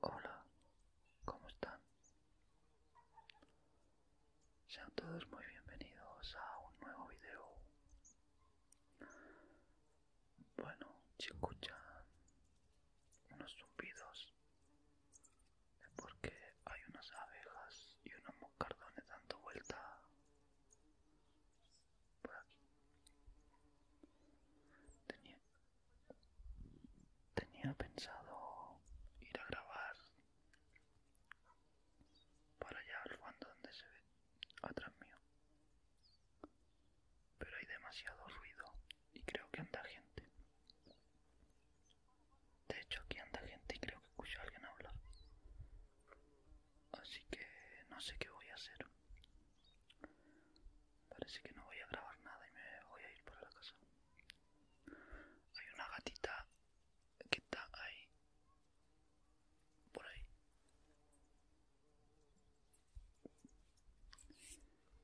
Hola, ¿cómo están? Sean todos muy bienvenidos a un nuevo video. Bueno, si escuchan unos zumbidos es porque hay unas abejas y unos moscardones dando vuelta por aquí. Tenía, tenía pensado ir a grabar para allá al fondo donde se ve atrás mío. Pero hay demasiado ruido y creo que anda gente. De hecho aquí anda gente y creo que escucho a alguien hablar así que no sé qué voy a hacer parece que no voy a grabar nada y me voy a ir para la casa hay una gatita que está ahí por ahí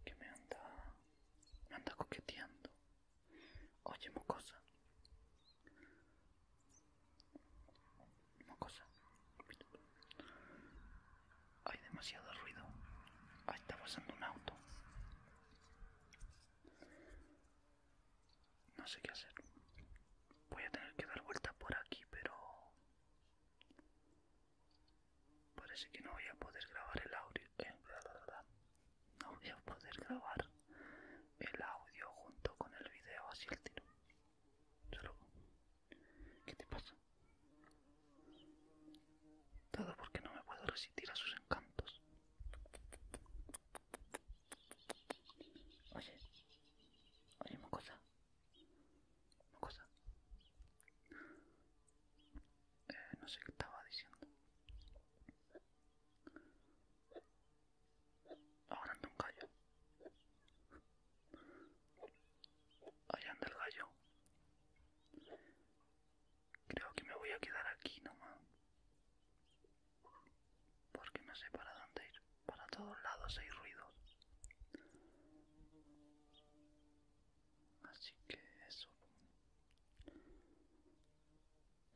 que me anda me anda coqueteando oye mocosa cosa, Hay demasiado ruido. Ahí está pasando un auto. No sé qué hacer. Voy a tener que dar vueltas por aquí, pero... Parece que no voy a poder grabar el audio. Eh, no voy a poder grabar el audio junto con el video así el tiro. ¿Qué te pasa? Todo porque no me puedo resistir a sus encantos. Oye, oye, mocosa. Mocosa. Eh, no sé qué estaba diciendo. Ahora anda un gallo. Allá anda el gallo. Creo que me voy a quedar aquí nomás. Porque no sé para dónde ir. Para todos lados hay ruidos. Así que eso.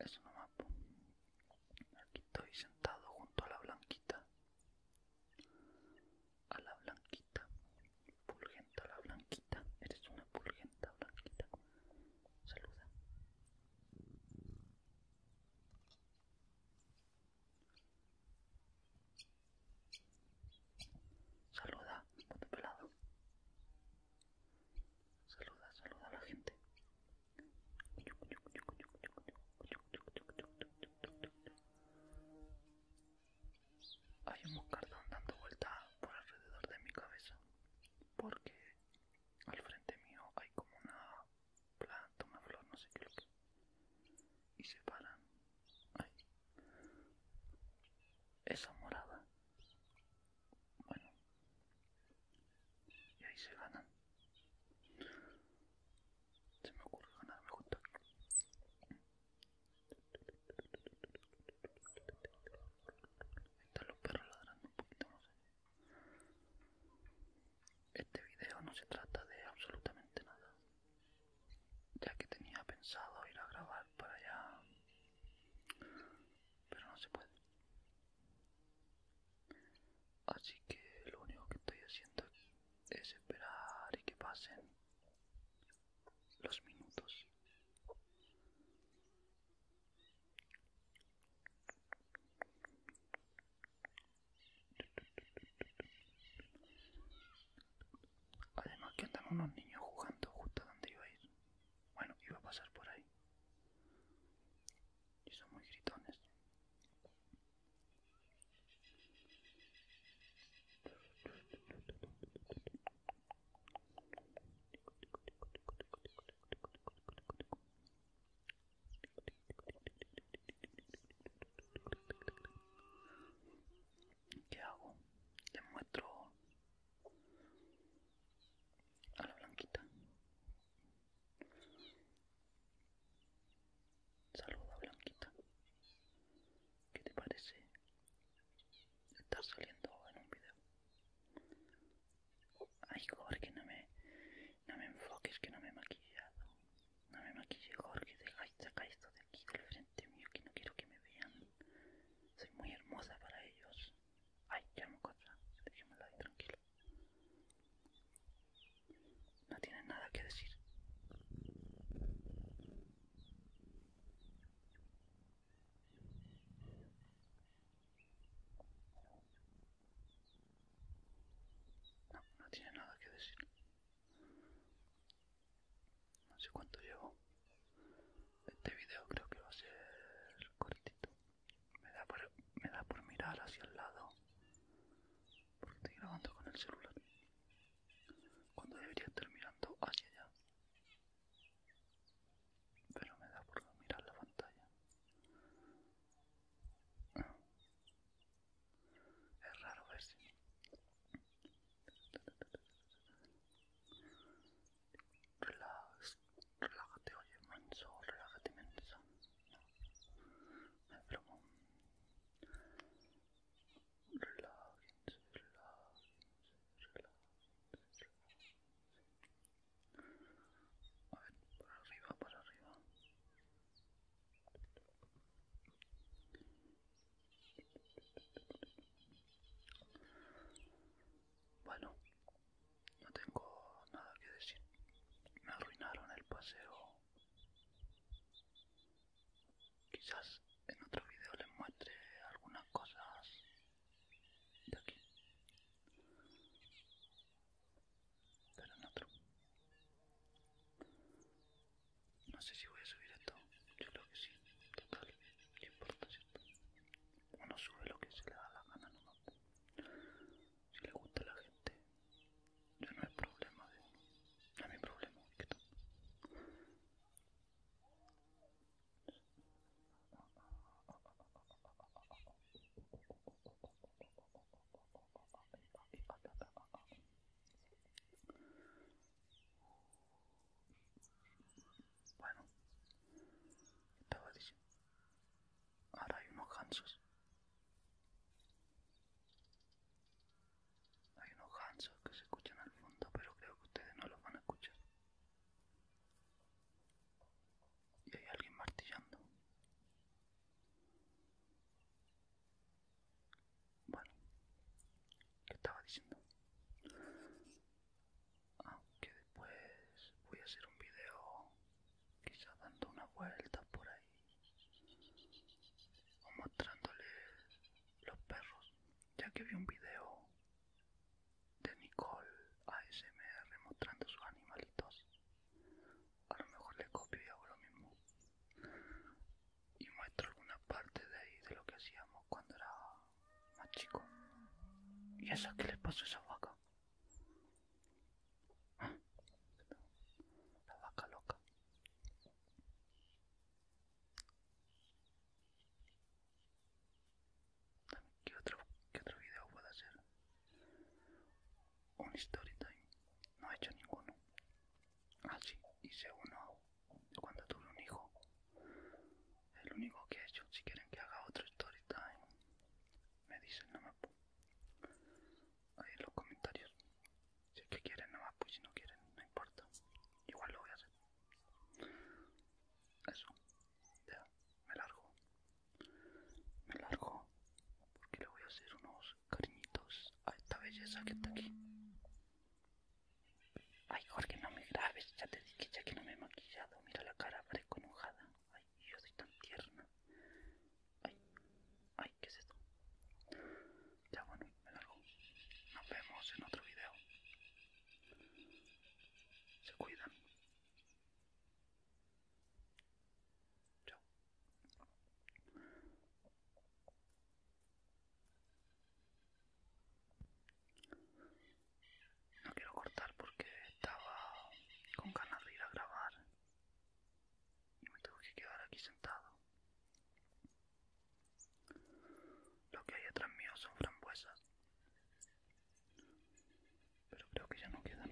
Eso nomás. Aquí estoy sentado junto a la blanquita a la blanquita, a la blanquita, eres una pulgenta blanquita, saluda. Saluda, pelado. Saluda, saluda a la gente. Hay un moscardón dando vuelta por alrededor de mi cabeza, porque al frente mío hay como una planta, una flor, no sé qué y se paran. Esa morada. Bueno. Y ahí se ganan se me ocurre ganarme junto están los perros ladrando un poquito no sé este video no se trata de absolutamente nada ya que tenía pensado ir a grabar para allá pero no se puede Así que lo único que estoy haciendo es esperar y que pasen los minutos. Además que andan unos niños jugando justo donde iba a ir. Bueno, iba a pasar por ahí. Y son muy gritones. ¿Qué hago? Te muestro a la blanquita Saluda Blanquita. ¿Qué te parece estar saliendo en un video? Ay Jorge, no me, me enfoques que no me he maquillado. No me maquille Jorge, deja, saca esto de aquí del frente mío que no quiero que me vean. Soy muy hermosa para ellos. Ay, llamo me ahí tranquilo. No tiene nada que decir. No, no tiene nada que decir. No sé cuánto llevo. Este video creo que va a ser cortito. Me da por, me da por mirar hacia el lado. Porque estoy grabando con el celular. Cuando debería estar mirando hacia allá. Pero me da por mirar la pantalla. Es raro ver si... Relájate, oye, manso, relájate, manso. No, es relájate relájate relájate relájense, A ver, para arriba, para arriba. Bueno, no tengo nada que decir. Me arruinaron el paseo. Quizás en otro video les muestre algunas cosas de aquí. Pero en otro. No sé si voy a subir esto. Yo creo que sí. Total. No importa, ¿cierto? Uno sube lo que se le da la gana uno. Si le gusta la gente, ya no es problema de ¿eh? uno. No es problema, Bueno, estaba diciendo Ahora hay unos gansos. Hay unos gansos que se escuchan al fondo, pero creo que ustedes no los van a escuchar. Y hay alguien martillando. Bueno, ¿qué estaba diciendo? aunque después voy a hacer un video quizá dando una vuelta por ahí o mostrándole los perros ya que vi un video de Nicole ASMR mostrando sus animalitos a lo mejor le copio y hago lo mismo y muestro alguna parte de ahí de lo que hacíamos cuando era más chico y es que les pasó esa vaca la vaca loca. ¿Qué otro, qué otro video puedo hacer? Un story time. No he hecho ninguno. Ah, sí, hice uno cuando tuve un hijo el único que he hecho. Si quieren que haga otro story time, me dicen nada más ahí en los comentarios. Si es que quieren nada me pues si no quieren, no importa. Igual lo voy a hacer. Eso, ya, me largo. Me largo porque le voy a hacer unos cariñitos a esta belleza que está aquí. Ay Jorge, no me grabes, ya te dije ya que no me he maquillado mira la cara, parezco enojada. Ay, yo soy tan tierna. Ay, ay, ¿qué es esto? Ya bueno, me largo. Nos vemos en otro video. Se cuidan. Chao. No quiero cortar porque estaba con ganas de ir a grabar y me tengo que quedar aquí sentado. Lo que hay atrás mío son frambuesas, pero creo que ya no quedan.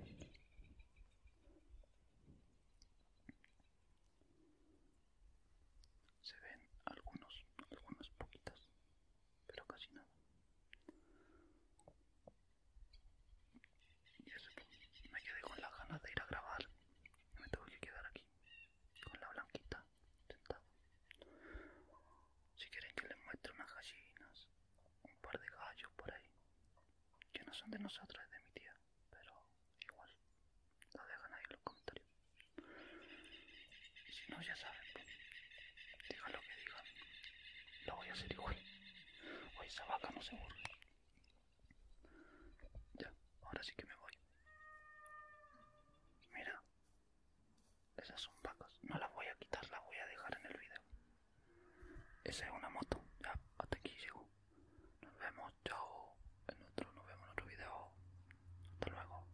Se ven algunos, algunas poquitas pero casi nada. me quedé con las ganas de ir a grabar. Me tengo que quedar aquí, con la blanquita, sentado. Si quieren que les muestre unas gallinas, un par de gallos por ahí, que no son de nosotros, es de mi tía, pero igual, lo dejan ahí en los comentarios. Si no, ya saben, pues. digan lo que digan, lo voy a hacer igual. Hoy esa vaca no se burla. Ya, ahora sí que me voy. Mira, esas son vacas, no las voy a quitar, las voy a dejar en el video. Esa es una moto, ya, hasta aquí llego. Nos vemos, chao. En otro, nos vemos en otro video. Hasta luego.